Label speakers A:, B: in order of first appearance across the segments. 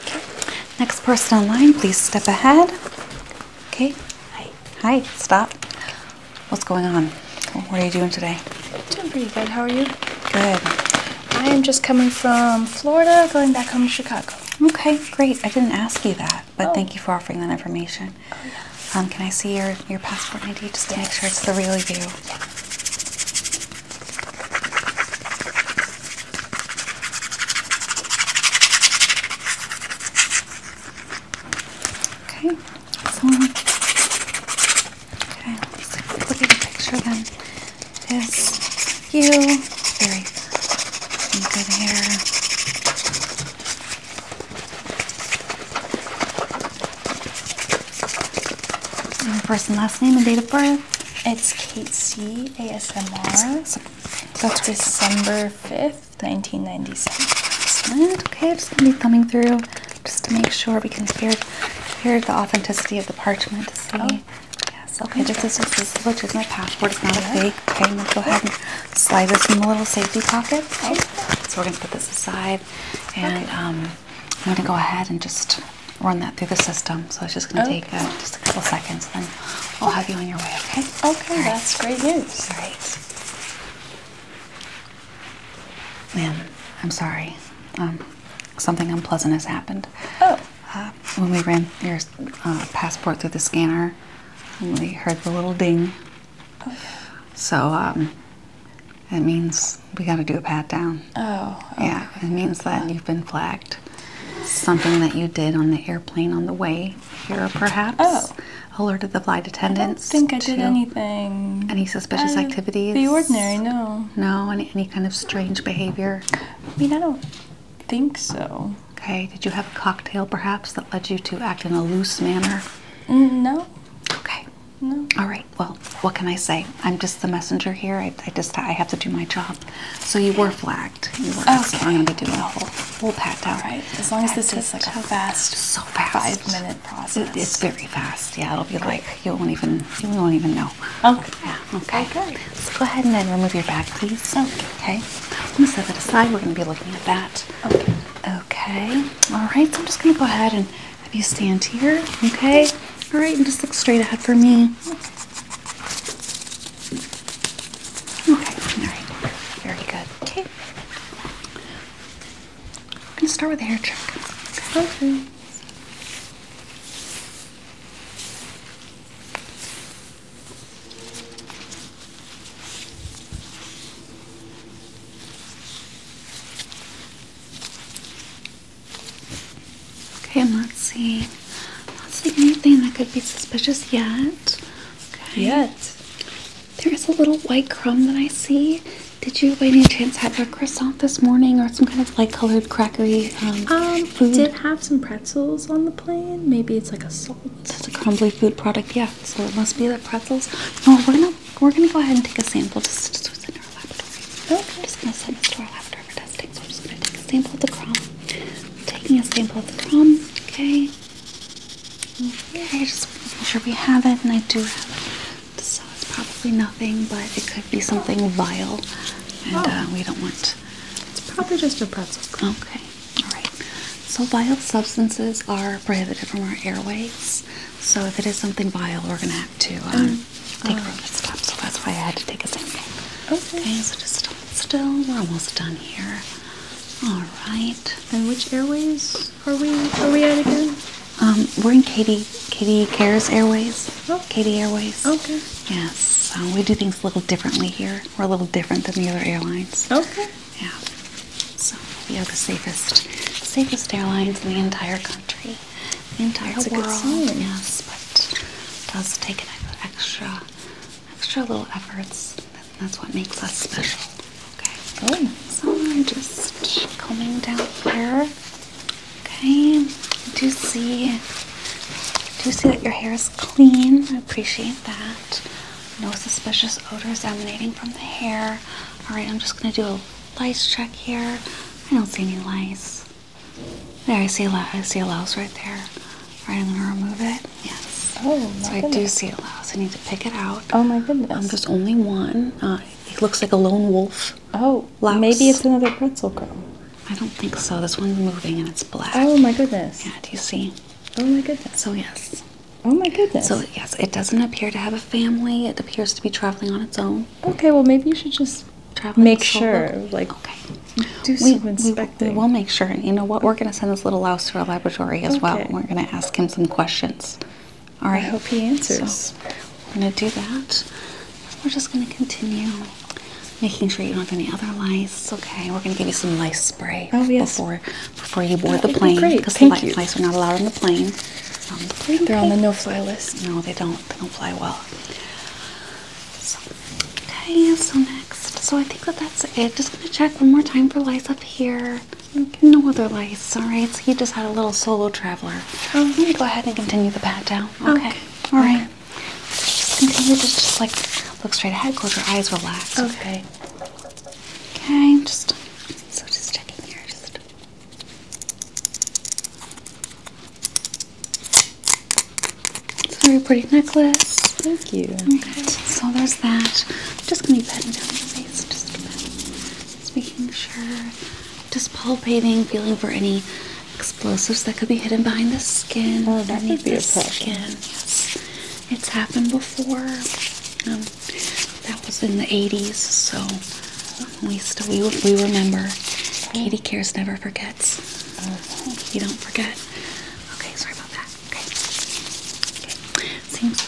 A: Okay. Next person online, please step ahead. Okay. Hi. Hi. Stop. What's going on? What are you doing today? Doing pretty good. How are you? Good. I am just coming from Florida, going back home to Chicago. Okay, great. I didn't ask you that, but oh. thank you for offering that information. Oh, um, can I see your, your passport ID just to make sure it's the real you? Okay,
B: so okay, let's look at the picture again. This you, very
A: good hair. first and last name and date of birth. It's KC ASMR. That's December 5th, 1997. Okay, I am just going to be thumbing through just to make sure we can hear, the authenticity of the parchment to oh. Yes, okay, just as this is legit my passport, it's not yeah. a fake. Okay, I'm going to go ahead and slide this in the little safety pocket. Okay. So we're going to put this aside and okay. um, I'm going to go ahead and just run that through the system. So it's just going to oh. take uh, just a couple seconds, then i will have you on your way, okay? Okay, that's great news. All right. Ma'am, I'm sorry. Um, something unpleasant has happened. Oh. Uh, when we ran your uh, passport through the scanner, we heard the little ding. Oh. So, that um, means we got to do a pat down. Oh. Yeah, it means that you've been flagged something that you did on the airplane on the way here, perhaps. Oh. Alerted the flight attendants. think I did anything. Any suspicious uh, activities? The ordinary, no. No, any, any kind of strange behavior? I mean, I don't think so. Okay, did you have a cocktail perhaps that led you to act in a loose manner? Mm, no. Okay. No. All right. Well, what can I say? I'm just the messenger here. I, just I have to do my job. So you were flagged packed. okay. I'm gonna be doing a whole full packed out. All right. As long as this is like a fast, so fast five minute process. it's very fast. Yeah, it'll be like you won't even you won't even know. Okay. Yeah. Okay. Good. Let's go ahead and then remove your bag, please. Okay. I'm gonna set that aside. We're gonna be looking at that. Okay. All right. So I'm just gonna go ahead and have you stand here. Okay. All right. And just look straight ahead for me. Okay, alright. Very good. Okay. I'm gonna start with the hair check. Okay. Okay, I'm not seeing, not seeing anything that could be suspicious yet. Okay. There is a little white crumb that I see. Did you, by any chance, have a croissant this morning or some kind of light-colored crackery um, um, did have some pretzels on the plane. Maybe it's like a salt. it's a crumbly food product, yeah. So it must be the pretzels. No, we're gonna we're gonna go ahead and take a sample just, just within our laboratory. Okay. I'm just gonna send this to our laboratory so I'm just going to take a sample of the crumb. taking a sample of the crumb, okay? Okay, just make sure we have it, and I do have it. So it's probably nothing, but it could be something vile, and uh, we don't want. It's probably just a pretzel. Okay, all right. So vile substances are prohibited from our airways. So if it is something vile, we're gonna have to um, um, take a look at
B: stuff. So that's why I had to take a sample.
A: okay so just still. We're almost done here. All right. And which airways are we are we at again? Um, we're in Katie Katie Cares Airways. Oh, Katie Airways. Okay. Yes. we do things a little differently here. We're a little different than the other airlines. Okay. Yeah. So we are the safest safest airlines in the entire country, the entire That's world. Yes, but does take an extra extra, little efforts. that's what makes us special. Okay. Oh. So I'm just combing down here. Okay. Do you see? Do you see that your hair is clean? I appreciate that. No suspicious odors emanating from the hair. All right. I'm just gonna do a lice check here. I don't see any lice. There, I see a louse. see a louse right there. All right, I'm gonna remove it. Yes. Oh, my So I do see a louse. I need to pick it out. Oh my goodness. Um, there's only one. Uh, it looks like a lone wolf. Oh, louse. maybe it's another pretzel girl. I don't think so. This one's moving and it's black. Oh my goodness. Yeah. Do you see? Oh my goodness. So yes. Oh my goodness. So yes, it doesn't appear to have a family. It appears to be traveling on its own. Okay, well maybe you should just make sure like okay we, we, we will make sure And you know what we're going to send this little louse to our laboratory as okay. well we're going to ask him some questions all right i hope he answers we're going to do that we're just going to continue making sure you don't have any other lice okay we're going to give you some lice spray oh, yes. before before you board the plane because the lice, lice are not allowed on the plane um, they're on the no-fly list no they don't they don't fly well so, okay, so next, so I think that that's it. Just gonna check one more time for lice up here. No other lice, alright? So you just had a little solo traveler. Oh, I'm go ahead and continue the pat down. Okay. Alright. Just continue, just, just like look straight ahead, close your eyes, relax. Okay. Okay, just so just checking here. Just it's a very pretty necklace. Thank you. Okay, so there's that. I'm just going to be patting down your face just making sure, just palpating, feeling for any explosives that could be hidden behind the skin. Oh, that skin. it's happened before. Um, that was in the 80s, so we still we, we remember. Katie cares never forgets you don't forget. Okay, sorry about that. Okay. Okay. Seems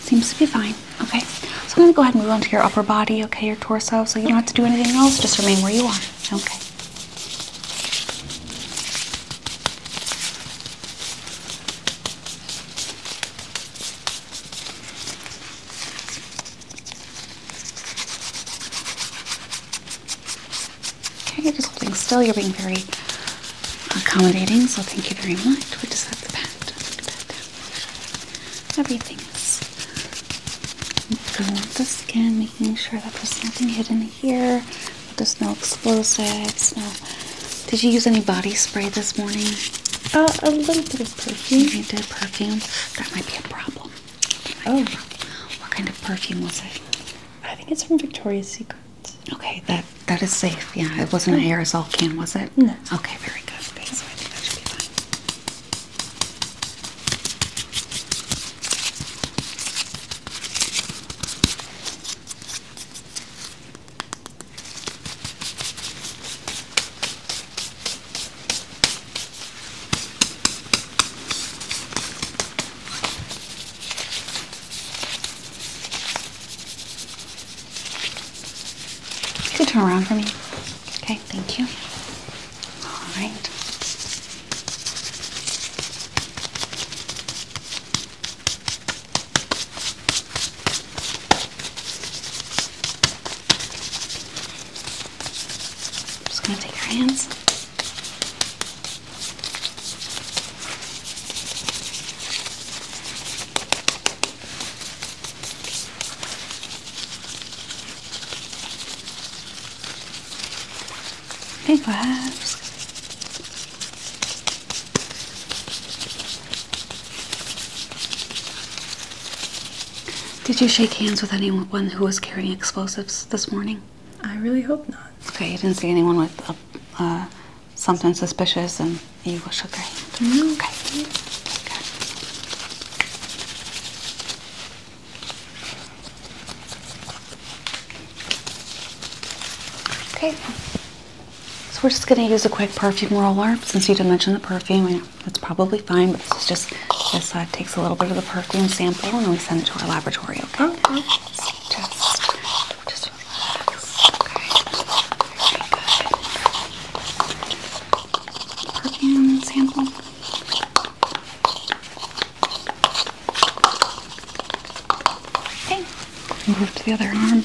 A: seems to be fine. Okay. So I'm gonna go ahead and move on to your upper body, okay, your torso. So you don't have to do anything else, just remain where you are. Okay. Okay, you're just holding still. You're being very accommodating, so thank you very much. We just have to pat, pat down. Everything's going with the skin, making sure that there's nothing hidden here. There's no explosives. No. Did you use any body spray this morning? Uh, a little bit of perfume. You did perfume. That might be a problem. Oh, what kind of perfume was it? I think it's from Victoria's Secret. Okay, that that is safe. Yeah, it wasn't an oh. aerosol can, was it? No. Okay, very good. You could turn around for me. Okay, thank you. All right. I'm just going to take your hands. Big Did you shake hands with anyone who was carrying explosives this morning? I really hope not. Okay, you didn't see anyone with uh, uh, something suspicious and you shook their hand. Okay. Okay. Okay. So we're just gonna use a quick perfume roller. Since you didn't mention the perfume, that's probably fine, but this is just this takes a little bit of the perfume sample and we send it to our laboratory,
B: okay? Oh, oh. just, just okay? good. Perfume sample.
A: Okay, move to the other arm.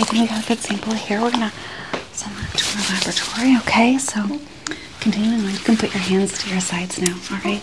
A: Okay, then we got a good sample here. We're gonna send that to our laboratory, okay? So continuing on, you can put your hands to your sides now, all right?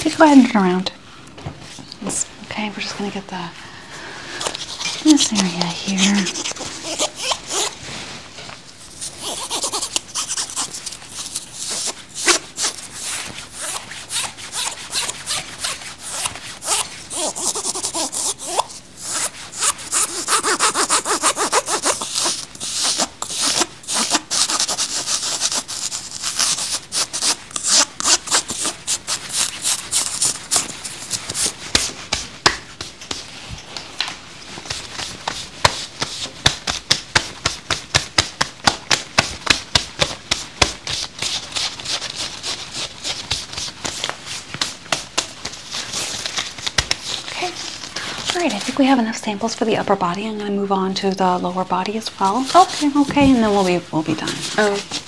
A: Just go ahead and turn around okay, we're just gonna get the this area here. Okay. All right, I think we have enough samples for the upper body. I'm going to move on to the lower body as well. Okay, okay, and then we'll be we'll be done. Okay.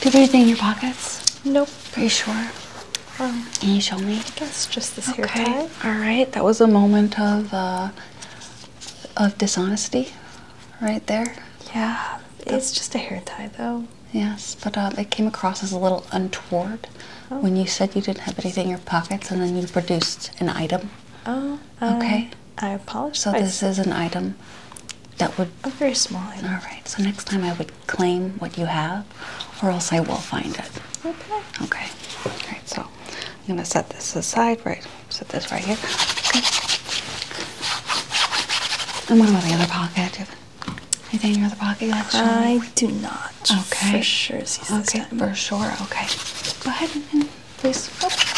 A: Did you anything in your pockets? Nope. Pretty sure. Um, Can you show me? just this okay. All right. That was a moment of uh, of dishonesty right there. Yeah, it's just a hair tie though. Yes, but uh, it came across as a little untoward oh. when you said you didn't have anything in your pockets and then you produced an item. Oh, okay. Uh, I apologize. So this is an item that would... A oh, very small item. All right, so next time I would claim what you have or else I will find it. Okay. Okay. All right, so I'm going to set this aside, right? Set this right here. Okay. And what about the other pocket? Do you have anything in your other pocket? Like I sure? do not. Okay. For sure. Okay. For sure. Okay. Go ahead and place the Oh.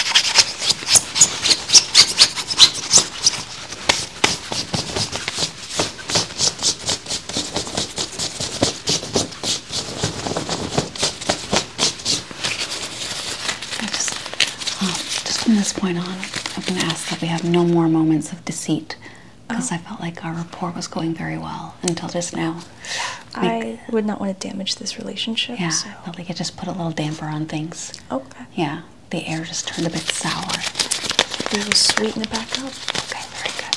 A: Oh, just, from this point on, I'm going to ask that we have no more moments of deceit because I oh. felt like our rapport was going very well until just now. Like, I would not want to damage this relationship. Yeah, I felt like it just put a little damper on things. Okay. Yeah, the air just turned a bit sour. We will sweeten it back up. Okay, very good.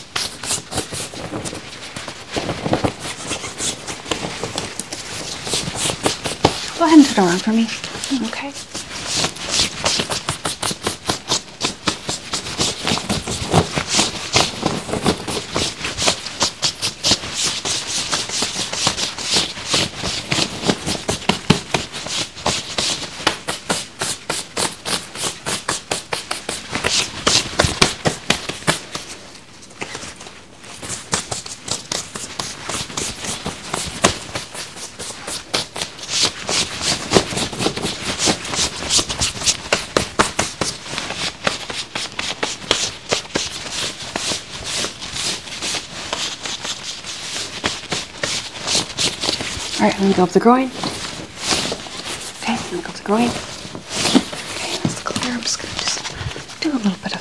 A: Go ahead and turn around for me. Mm, okay alright let me go up the groin. Okay, I think go in. Okay, us clear. I'm just gonna just do a little bit of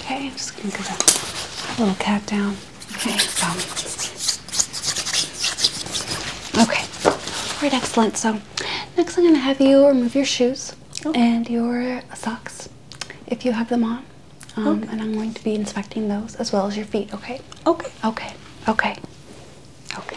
A: Okay, I'm just gonna give that little cat down. Okay, so. Um, okay, all right, excellent. So, next I'm gonna have you remove your shoes and your socks if you have them on. Um, and I'm going to be inspecting those as well as your feet, okay? Okay. Okay. Okay. Okay.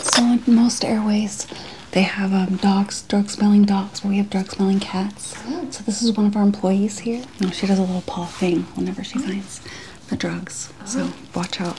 A: So in most airways, they have um, dogs, drug-smelling dogs, But we have drug-smelling cats. Oh. So this is one of our employees here. No, she does a little paw thing whenever she oh. finds the drugs. So oh. watch out.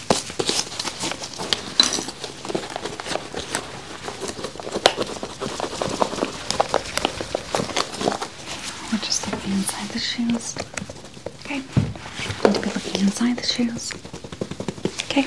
A: We're just looking inside the shoes. Okay. Need to be looking inside the shoes. Okay.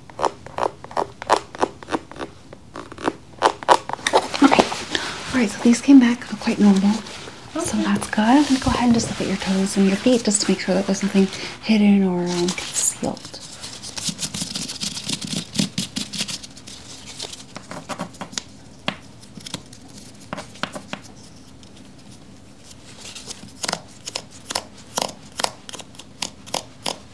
A: Okay. Alright, so these came back quite normal. So that's good. I'm going to go ahead and just look at your toes and your feet just to make sure that there's nothing hidden or um, concealed.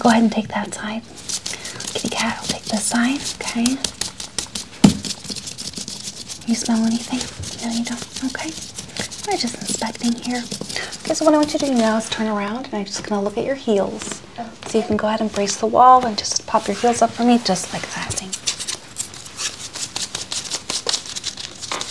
A: Go ahead and take that side. Kitty cat, I'll take this side, okay? You smell anything? No, you don't. Okay. I'm just inspecting here. Okay, so what I want you to do now is turn around and I'm just gonna look at your heels. So you can go ahead and brace the wall and just pop your heels up for me just like that
B: thing.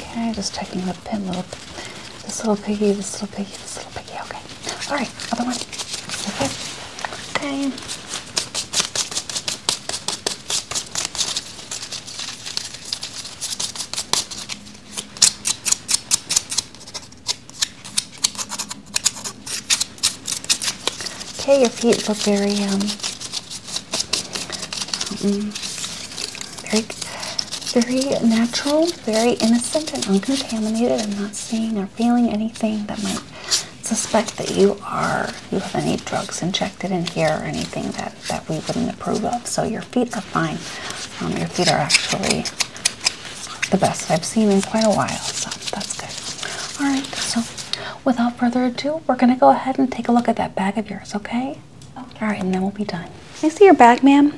A: Okay, just checking the pin little this little piggy, this little piggy,
B: this little piggy, okay.
A: Alright, other one. Okay. Okay. Okay, your feet look very um very, very natural, very innocent and uncontaminated. I'm not seeing or feeling anything that might suspect that you are you have any drugs injected in here or anything that that we wouldn't approve of. So your feet are fine. Um, your feet are actually the best I've seen in quite a while, so that's good. All right, so without further ado, we're gonna go ahead and take a look at that bag of yours, okay? All right, and then we'll be done. I see your bag, ma'am?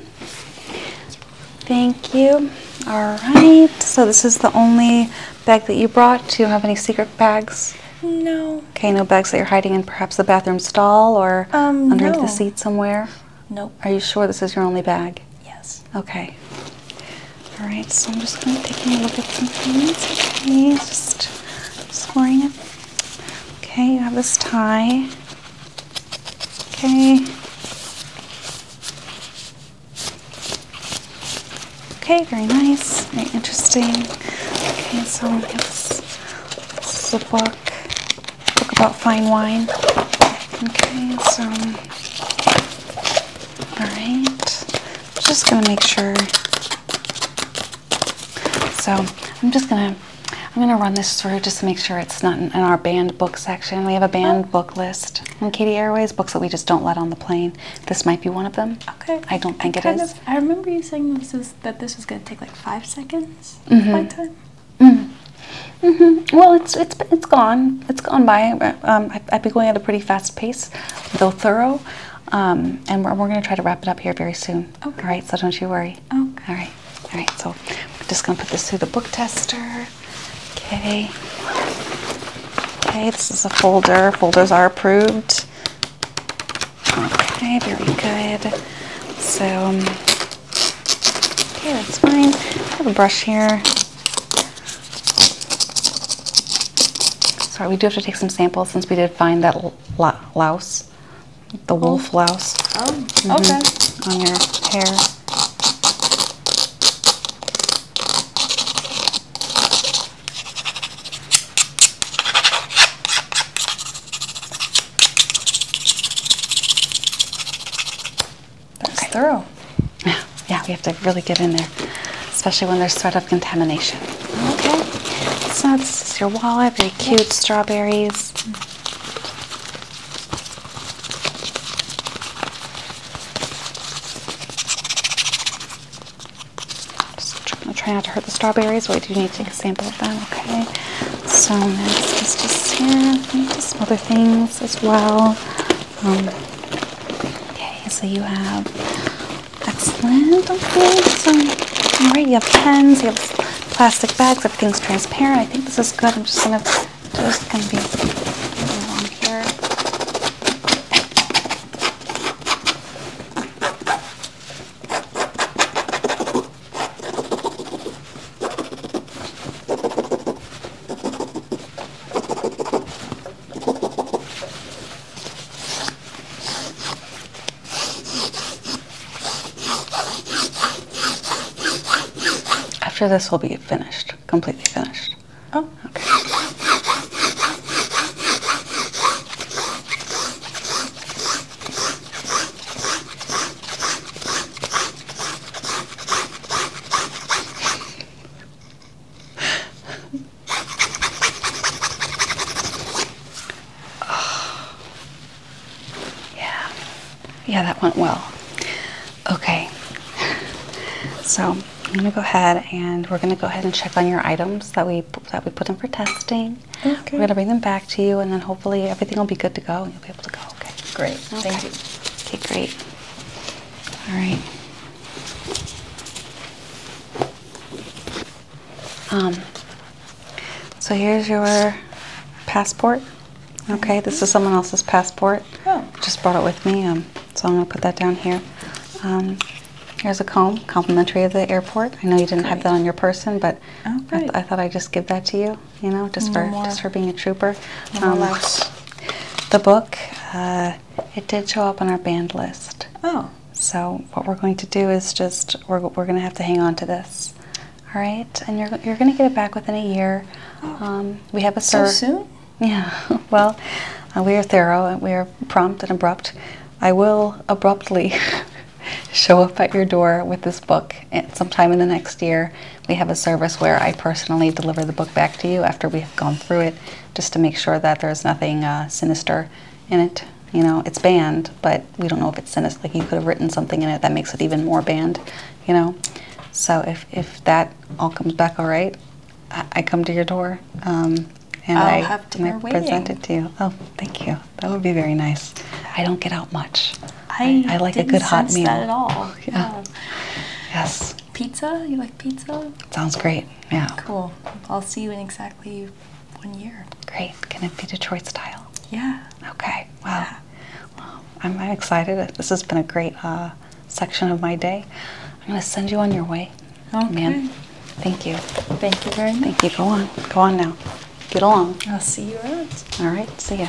A: Thank you. All right. So this is the only bag that you brought. Do you have any secret bags? No. Okay, no bags that you're hiding in perhaps the bathroom stall or um, underneath the seat somewhere? Nope. Are you sure this is your only bag? Yes. Okay. All right, so I'm just going to take a look at some things. Okay, just scoring it Okay, you have this tie. Okay. Okay, very nice, very interesting. Okay, so we have this, this is a book, a book about fine wine. Okay, so, all just gonna make sure. So, I'm just gonna I'm going to run this through just to make sure it's not in, our banned book section. We have a banned oh. book list and Katie Airways, books that we just don't let on the plane. This might be one of them. Okay. I don't think it is. I remember you saying this is, that this was going to take like five seconds mm -hmm. flight time. Mm Mm -hmm. Well, it's it's it's gone. It's gone by. Um, I, I've been going at a pretty fast pace, though thorough. Um, and we're, we're going to try to wrap it up here very soon. Okay. All right, so don't you worry. Oh, all right. All right, so I'm just going to put this through the book tester. Okay. Okay, this is a folder. Folders are approved. Okay, very good. So, um, okay, that's fine. I have a brush here. Sorry, we do have to take some samples since we did find that louse the oh. wolf louse. Oh, mm-hmm. okay. On your hair. That's okay. thorough. Yeah, yeah, we have to really get in there, especially when there's threat of contamination. Okay. So that's your wallet, cute strawberries. Just trying to try not to hurt the strawberries. We do need to sample them. Okay. So next is just yeah, I need some other things as well. Um, okay, so you have excellent. Okay, so all right, you have pens. You have plastic bags. If Everything's transparent. I think this is good. I'm just gonna just gonna be along here. After this we will be finished, completely finished. Oh, ah. Yeah, yeah, that went well. Okay, so I'm gonna go ahead and we're gonna go ahead and check on your items that we that we put in for testing. Okay. We're gonna bring them back to you, and then hopefully everything will be good to go, and you'll be able to go. Okay. Great. Thank you. Okay, great. All right. Um, so here's your passport. Okay, this is someone else's passport. Oh. Just brought it with me, um, so I'm going to put that down here. Um, here's a comb, complimentary of the airport. I know you didn't have that on your person, but oh, I, thought I'd just give that to you, you know, just, for, just for being a trooper. Um, the book, uh, it did show up on our band list. Oh. So what we're going to do is just, we're, we're going to have to hang on to this. All right, and you're you're going to get it back within a year. Oh. Um, we have a so soon. Yeah. well, uh, we are thorough and we are prompt and abrupt. I will abruptly show up at your door with this book eh, sometime in the next year. We have a service where I personally deliver the book back to you after we have gone through it, just to make sure that there's nothing uh, sinister in it. You know, it's banned, but we don't know if it's sinister. Like you could have written something in it that makes it even more banned. You know, so if if that all comes back all right, I, come to your door. Um,
B: and i present it
A: to you. Oh, thank you. That would be very nice. I don't get out much.
B: I, I, like a good hot meal. That at all.
A: yeah. Yes. Pizza? You like pizza? Sounds great. Yeah. Cool. I'll see you in exactly one year. Great. Can it be Detroit style? Yeah. Okay. Wow. Well, I'm, excited. This has been a great uh, section of my day. I'm going to send you on your way. Okay. Ma'am. Thank you. Thank you very Thank you. Go on. Go on now. Get along. I'll see you out. All right. See ya.